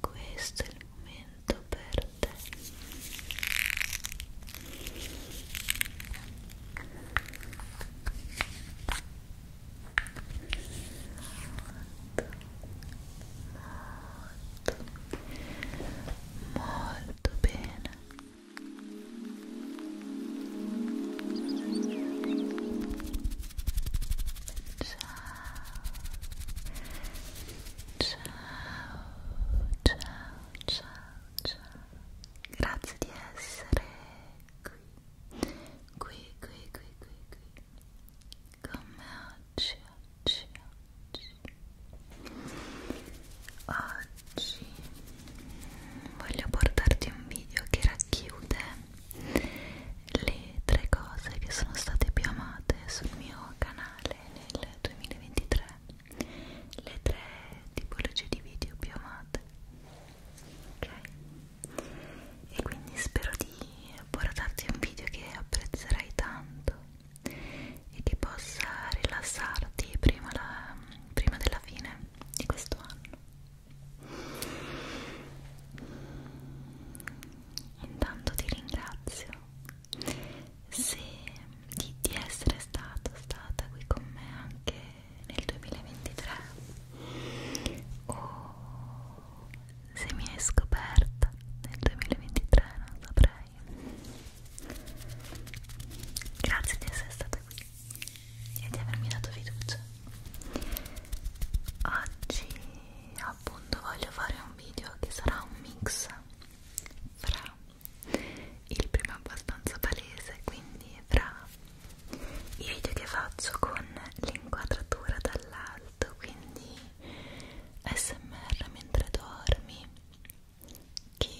questo è il momento per te molto molto molto bene ciao ciao, ciao, ciao. Grazie di essere qui, qui, qui, qui, qui, qui. Come oggi, oggi, oggi. Oggi voglio portarti un video che racchiude le tre cose che sono state più amate sul mio canale nel 2023 le tre tipologie di video più amate ok e quindi spero di portarti un video che apprezzerai tanto e che possa rilassarti prima, la, prima della fine di questo anno intanto ti ringrazio se, di, di essere stato stata qui con me anche nel 2023 o se mi hai scoperta nel 2023 non saprei grazie di essere stata qui e di avermi dato fiducia oggi ho appunto voglio fare un video che sarà un mix fra il primo è abbastanza palese quindi fra i video che faccio con l'inquadratura dall'alto quindi smr mentre dormi che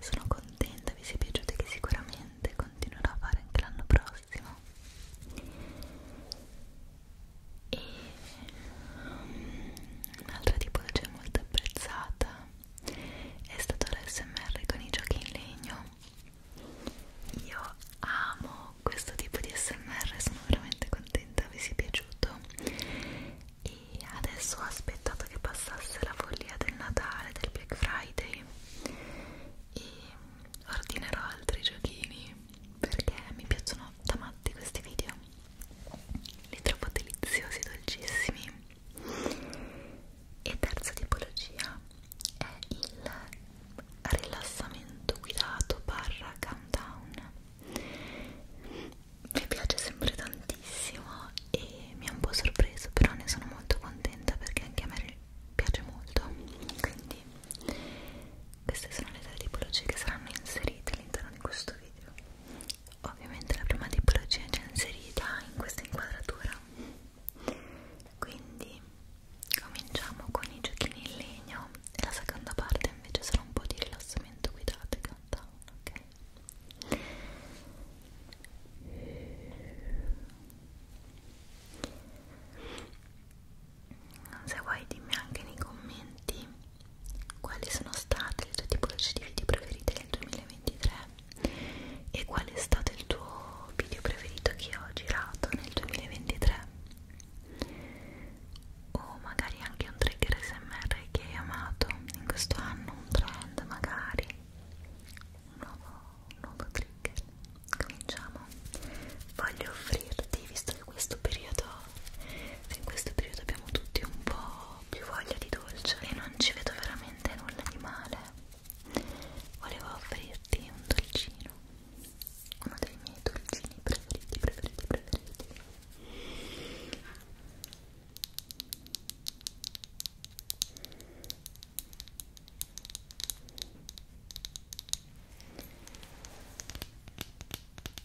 sono contenta vi sia piaciuto e che sicuramente continuerò a fare anche l'anno prossimo e um, un'altra tipologia molto apprezzata è stato l'SMR con i giochi in legno io amo questo tipo di smr sono veramente contenta vi sia piaciuto e adesso ho aspettato che passasse la follia del Natale del Black Friday e ordinerò altri giochini perché mi piacciono da matti questi video li trovo deliziosi, dolcissimi e terza tipologia è il rilassamento guidato barra countdown mi piace sempre tantissimo e mi ha un po' sorpreso però ne sono molto contenta perché anche a me piace molto quindi queste sono le tre tipologie che saranno inserite all'interno di questo video. Ovviamente la prima tipologia è già inserita in questa inquadratura. Quindi cominciamo con i giochini in legno e la seconda parte invece sarà un po' di rilassamento guidato e countdown, ok? se vuoi dimmi anche nei commenti quali sono state le tue tipologie di video preferite nel 2023 e qual è stato il tuo video preferito che ho girato nel 2023 o magari anche un trigger smr che hai amato in questo anno un trend magari un nuovo, un nuovo trigger cominciamo amo voglio offrirti visto che questo periodo in questo periodo abbiamo tutti un po' più voglia di dolce e non ci vedo veramente nulla di male volevo offrirti un dolcino uno dei miei dolcini preferiti preferiti preferiti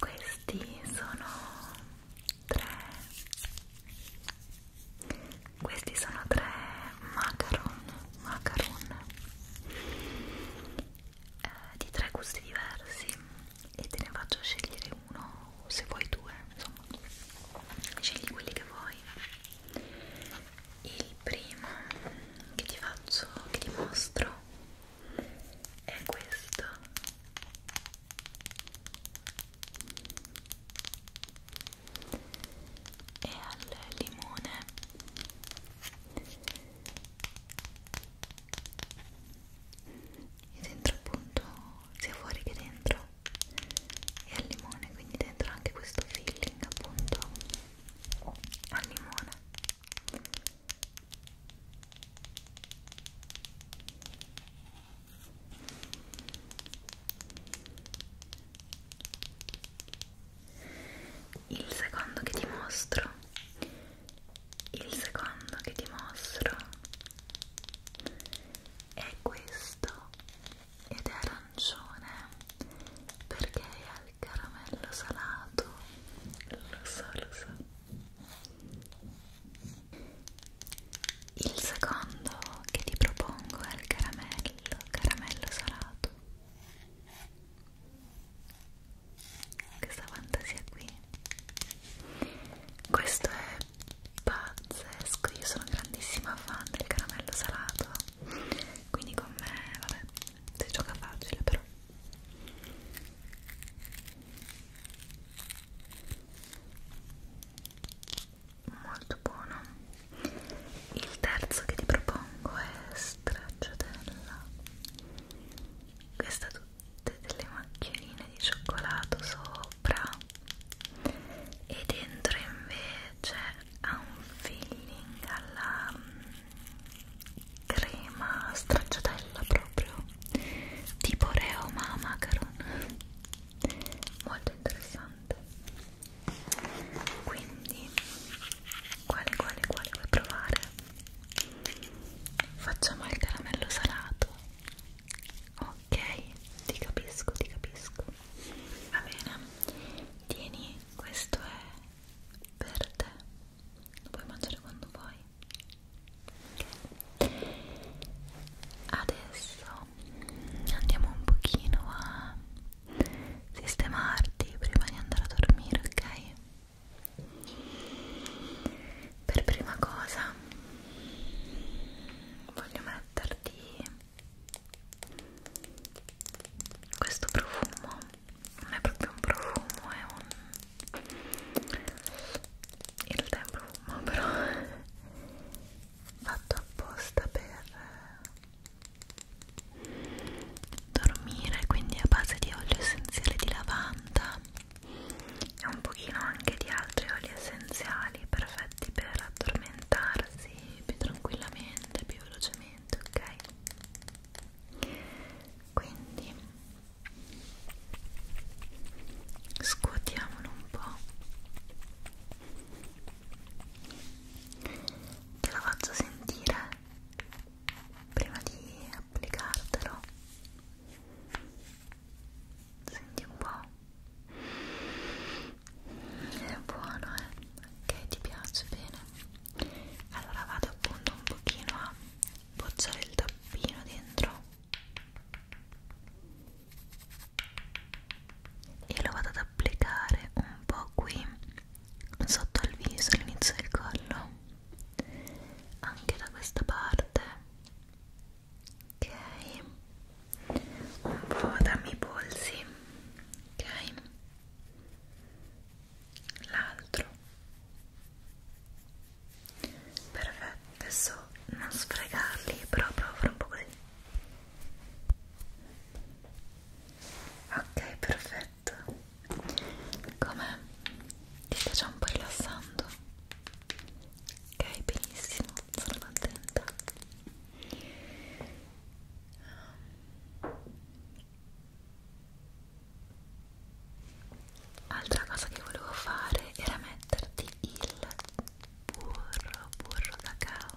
Questi sono tre questi sono tre macaron, macaron eh, di tre gusti diversi e te ne faccio scegliere uno o se vuoi due, insomma, scegli quelli che vuoi. Il primo che ti faccio, che ti mostro è questo e al limone e dentro appunto sia fuori che dentro e al limone quindi dentro anche questo filling appunto al limone il secondo che ti mostro il secondo che ti mostro è questo ed è arancione perché è al caramello salato lo so lo so il secondo che ti propongo è il caramello, caramello salato. Questa fantasia qui. Questo è pazzesco, io sono grandissima fan del caramello salato. Quindi con me, vabbè, si gioca facile però molto buono il terzo che ti propongo è stracciatella questa ha tutte delle macchionine di cioccolato sopra e dentro invece ha un filling alla mm, crema stracciatella proprio tipo Oreo ma macaron molto interessante quindi quale quale quale vuoi provare? facciamo il caramello salato ok ti capisco ti capisco va bene tieni questo è per te lo puoi mangiare quando vuoi okay. adesso adesso andiamo un pochino a sistemarti prima di andare a dormire, ok? Per prima cosa voglio metterti questo profumo, non è proprio un profumo, è un... in realtà è un profumo però fatto apposta per eh, dormire quindi a base di olio essenziale di lavanda e un pochino anche di altri oli essenziali perfetti per addormentarsi più tranquillamente, più velocemente, ok? Quindi scuotiamolo un po' te lo faccio sentire prima di applicartelo senti un po' è buono eh ok ti piace bene allora vado appunto un pochino a bocciare il tappino dentro e lo vado ad applicare un po' qui sotto al viso, all'inizio del collo anche da questa parte ok un po' da miei polsi ok l'altro perfetto adesso non sfregarli però provo a fare un po' così ok perfetto come ti sta già un po' rilassando ok benissimo sono contenta Altra cosa che volevo fare era metterti il burro, burro cacao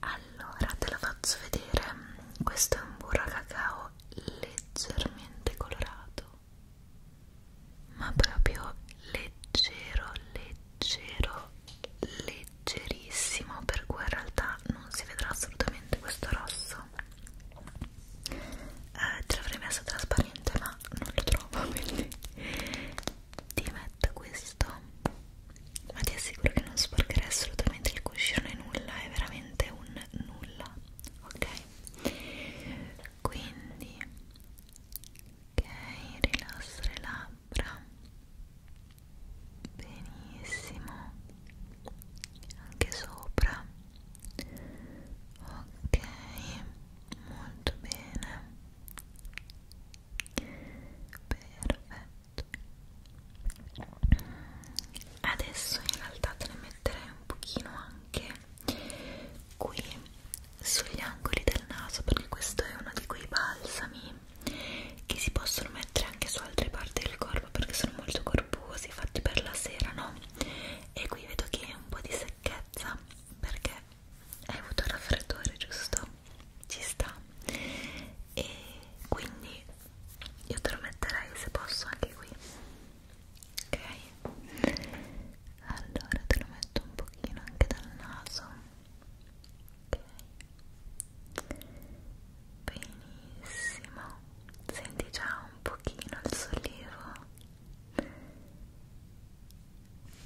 Allora te la faccio vedere, questo è un burro a cacao leggermente colorato, ma proprio leggero, leggero leggero leggerissimo per cui in realtà non si vedrà assolutamente questo rosso eh, ce l'avrei messo trasparente ma non lo trovo quindi ti metto questo ma ti assicuro che non sporcherei assolutamente il cuscino né nulla è veramente un nulla ok quindi ok rilasso le labbra labbra benissimo anche sopra ok molto bene perfetto adesso in realtà te ne metterei un pochino anche qui sugli angoli del naso perché questo è uno di quei balsami cremi che si possono mettere anche su altre parti del corpo perché sono molto corposi, fatti per la sera, no? E qui vedo che è un po' di secchezza perché hai avuto il raffreddore, giusto? Ci sta. E quindi io te lo metterei se posso anche qui. Ok? Allora te lo metto un pochino anche dal naso ok benissimo senti già un pochino il sollievo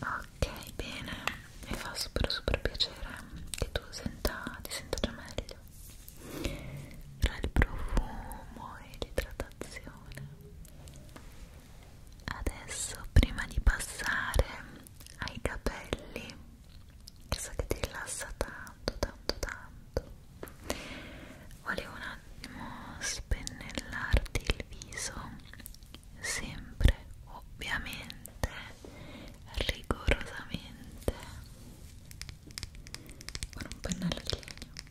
ok bene mi fa super super piacere che tu senta, ti senta già meglio tra il profumo e l'idratazione adesso prima di passare ai capelli che so che ti rilassa tanto tanto tanto volevo un attimo spennellarti il viso sempre ovviamente rigorosamente con un pennello di legno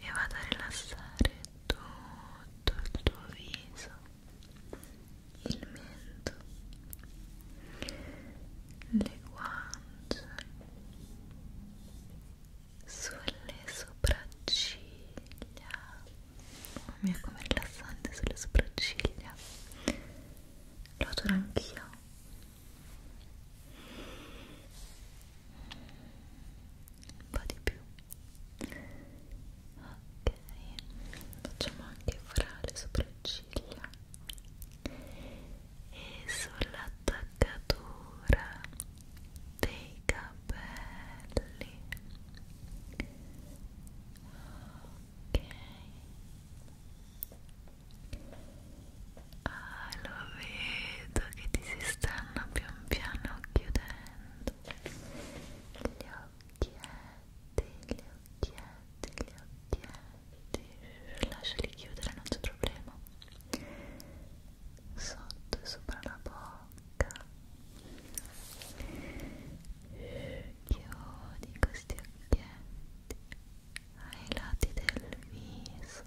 e vado a rilassare tutto il tuo viso il mento le guance sulle sopracciglia mamma oh mia com'è rilassante sulle sopracciglia lo adoro anch'io un po' di più ok facciamo anche fra le sopracciglia e sull'attaccatura dei capelli ok Ah, lo vedo che ti si stanno pian piano chiudendo gli occhietti, gli occhietti, gli occhietti. Lasciali chiudere, non c'è problema. Sotto e sopra la bocca. Chiudi questi occhietti ai lati del viso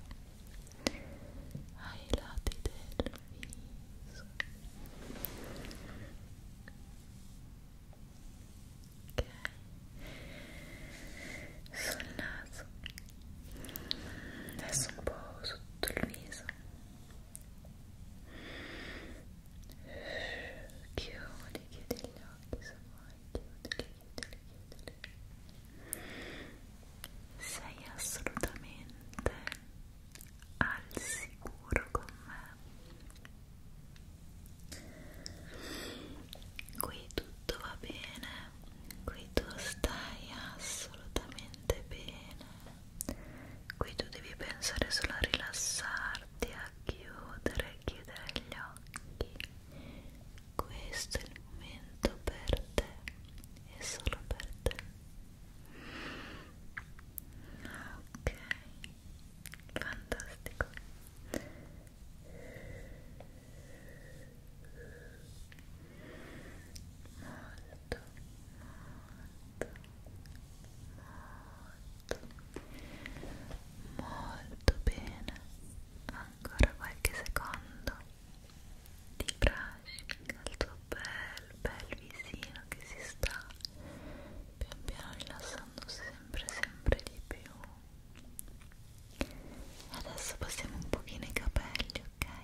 ai lati del viso ok sul naso adesso un po' sotto il viso chiudi, chiudi chiudili, chiudili. Sei assolutamente al sicuro con me. Qui tutto va bene, qui tu stai assolutamente bene. Qui tu devi pensare solo a rilassarti, a chiudere, chiudere gli occhi questo è il momento per te e solo per te ok fantastico molto molto molto molto bene ancora qualche secondo di brushing al tuo bel bel visino che si sta pian piano rilassando sempre sempre di più e adesso passiamo un pochino i capelli ok ok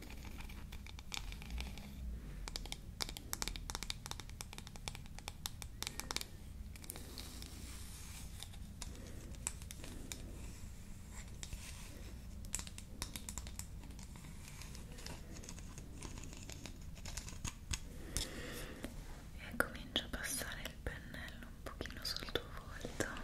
e comincio a passare il pennello un pochino sul tuo volto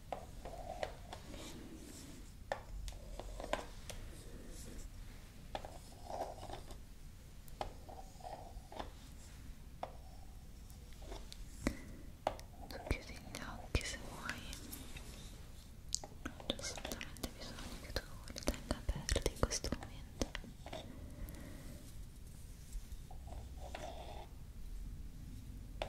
Tu chiudi gli occhi se vuoi, non c'è assolutamente bisogno che tu li tenga aperti in questo momento mi fa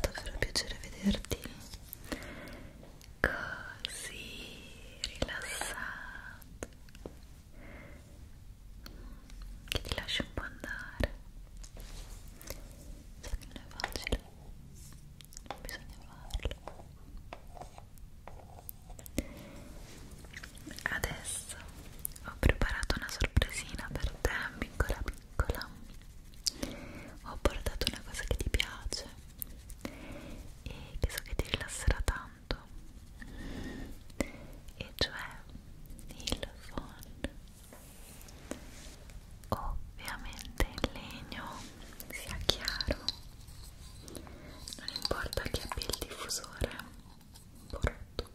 davvero piacere vederti così rilassato che ti lasci un po' andare so che non è facile bisogna farlo adesso ho preparato una sorpresina per te piccola piccola ho portato una cosa che ti piace e che so che ti rilasserà tanto e cioè il phon ovviamente il legno sia chiaro non importa che abbia il diffusore un po' rotto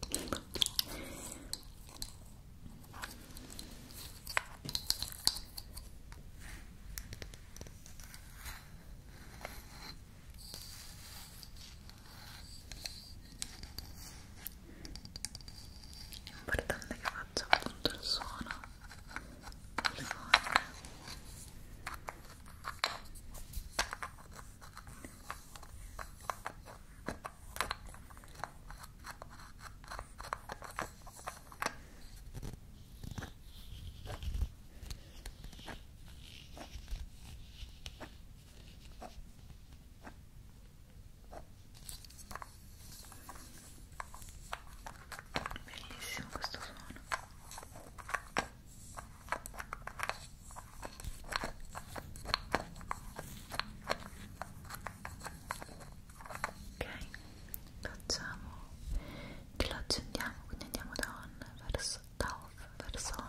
L'importante è che faccia appunto il suono delle forme. Ecco Bellissimo questo suono. Ok, facciamo che lo accendiamo, quindi andiamo da on verso da off verso on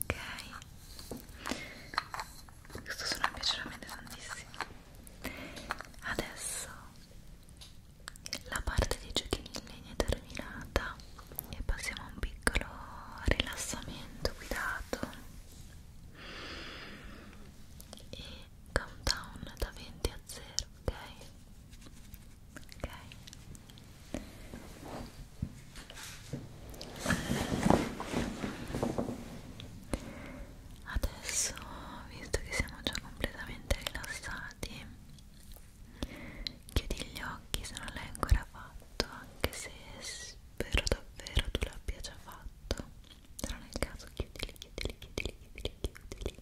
ok questo suona piacerà tantissimo adesso la parte dei giochini in legno è terminata e passiamo a un piccolo rilassamento guidato e countdown da 20 a 0 ok ok Adesso, visto che siamo già completamente rilassati, chiudi gli occhi se non l'hai ancora fatto, anche se spero davvero tu l'abbia già fatto. Però nel caso chiudili, chiudili, chiudili, chiudili, chiudili.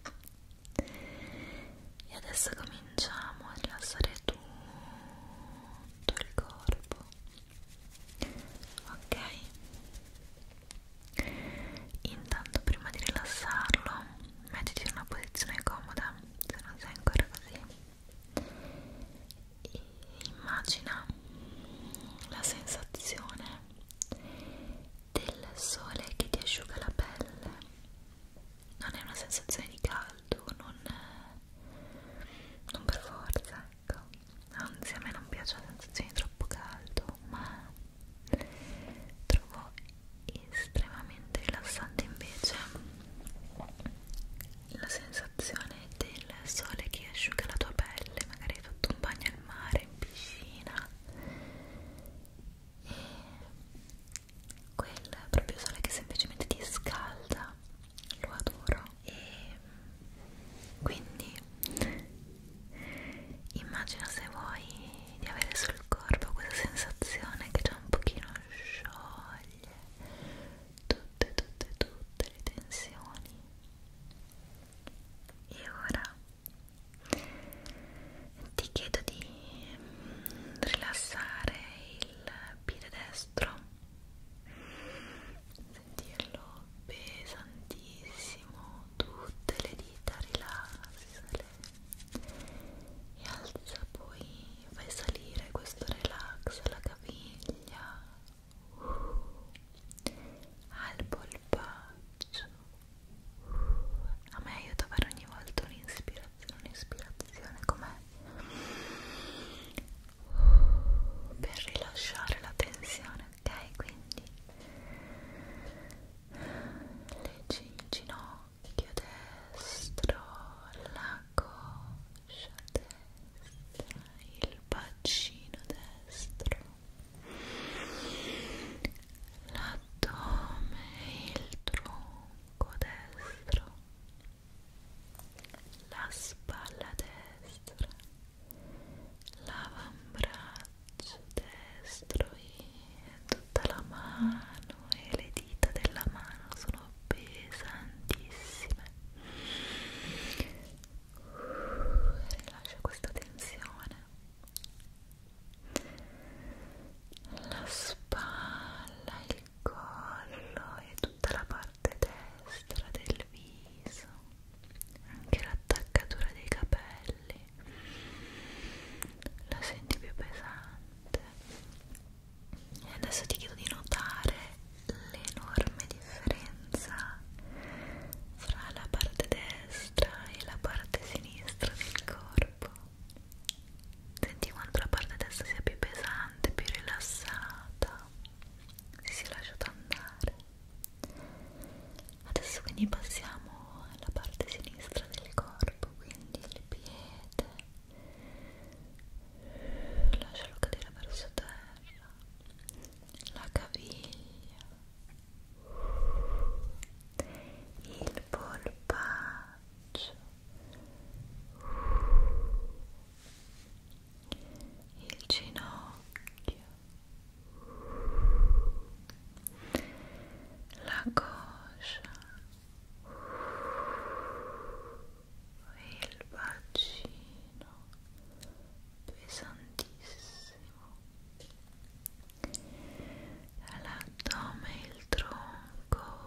E adesso cominciamo a rilassare tutto il corpo ok intanto prima di rilassarlo mettiti in una posizione comoda se non sei ancora così e immagina la sensazione del sole che ti asciuga la pelle non è una sensazione di caldo caldo, non, non per forza, ecco. Anzi, a me non piace la sensazione di troppo caldo, ma trovo estremamente rilassante invece la sensazione del sole che asciuga la tua pelle, magari hai fatto un bagno al mare, in piscina e quel proprio sole che semplicemente ti scalda lo adoro e quindi immagina se vuoi di avere sul corpo questa sensazione che già un pochino scioglie tutte tutte tutte le tensioni e ora ti chiedo di rilassare il piede destro sentirlo pesantissimo tutte le dita rilassale e alza poi fai salire questo relax alla caviglia uh, al polpaccio uh, a me aiuta a fare ogni volta un'ispirazione un'ispirazione com'è per rilasciare la tensione, ok? Quindi leggi il ginocchio destro, la coscia destra, il bacino destro, l'addome, il tronco destro la spalla destra, l'avambraccio destro e tutta la mano e le dita della mano sono pesantissime. Rilascia questa tensione. La spalla, il collo e tutta la parte parte destra del viso anche l'attaccatura dei capelli la senti più pesante e adesso ti chiedo di notare l'enorme differenza fra la parte destra e la parte sinistra del corpo senti quanto la parte destra sia più pesante, più rilassata si sia lasciato andare adesso quindi passiamo alla parte sinistra del corpo quindi il piede lascialo cadere verso terra la caviglia il polpaccio il ginocchio, la coscia, il bacino pesantissimo, l'addome, il tronco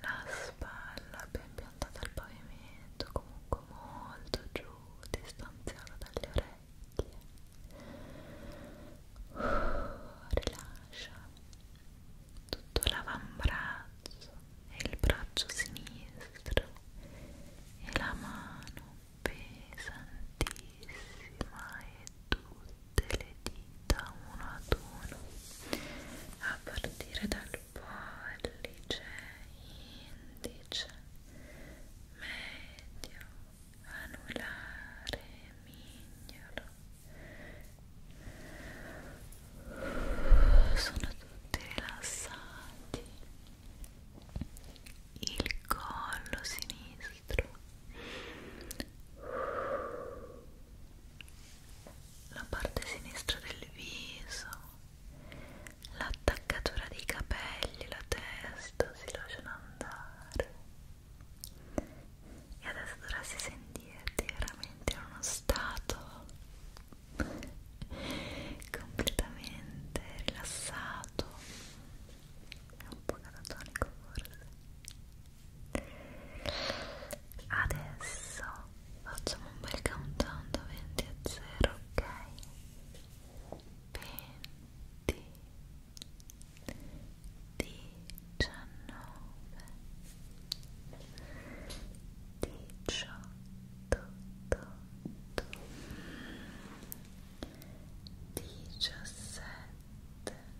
la spalla ben piantata al pavimento, comunque molto giù, distanziata dalle orecchie. Uh, rilascia tutto l'avambrazzo e il braccio sinistro e la mano pesantissima e dura tutte le dita uno ad uno a partire dal pollice, indice, medio, anulare, mignolo sono tutti rilassati il collo sinistro la parte sinistra del viso, l'attaccatura dei capelli, la testa si lasciano andare e adesso dovresti sentirti veramente in uno stato completamente rilassato e un po' catatonico forse Adesso facciamo un bel countdown da 20 a 0, ok? 20 19 18 18 17 16 15 14 13 12 11 10 9 8 7 6 5 4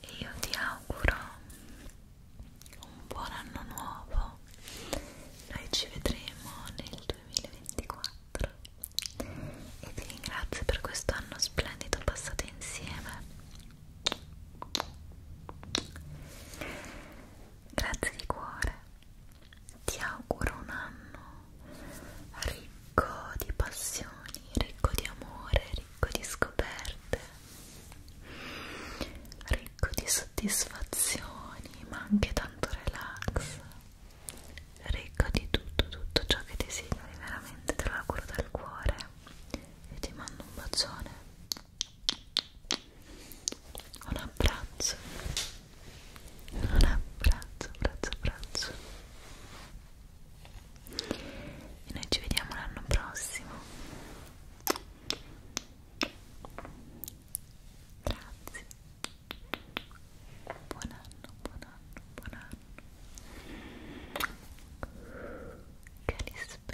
e io ti auguro un buon anno nuovo noi ci vedremo nel 2024 e ti ringrazio per questo anno splendido passato insieme grazie di cuore ti auguro un anno ricco di passioni, ricco di amore, ricco di scoperte, ricco di soddisfazioni, ma anche tanto relax, ricco di tutto, tutto ciò che desideri, veramente te lo auguro dal cuore e ti mando un bacione un abbraccio un abbraccio abbraccio abbraccio e noi ci vediamo l'anno prossimo grazie buon anno buon anno buon anno che li spera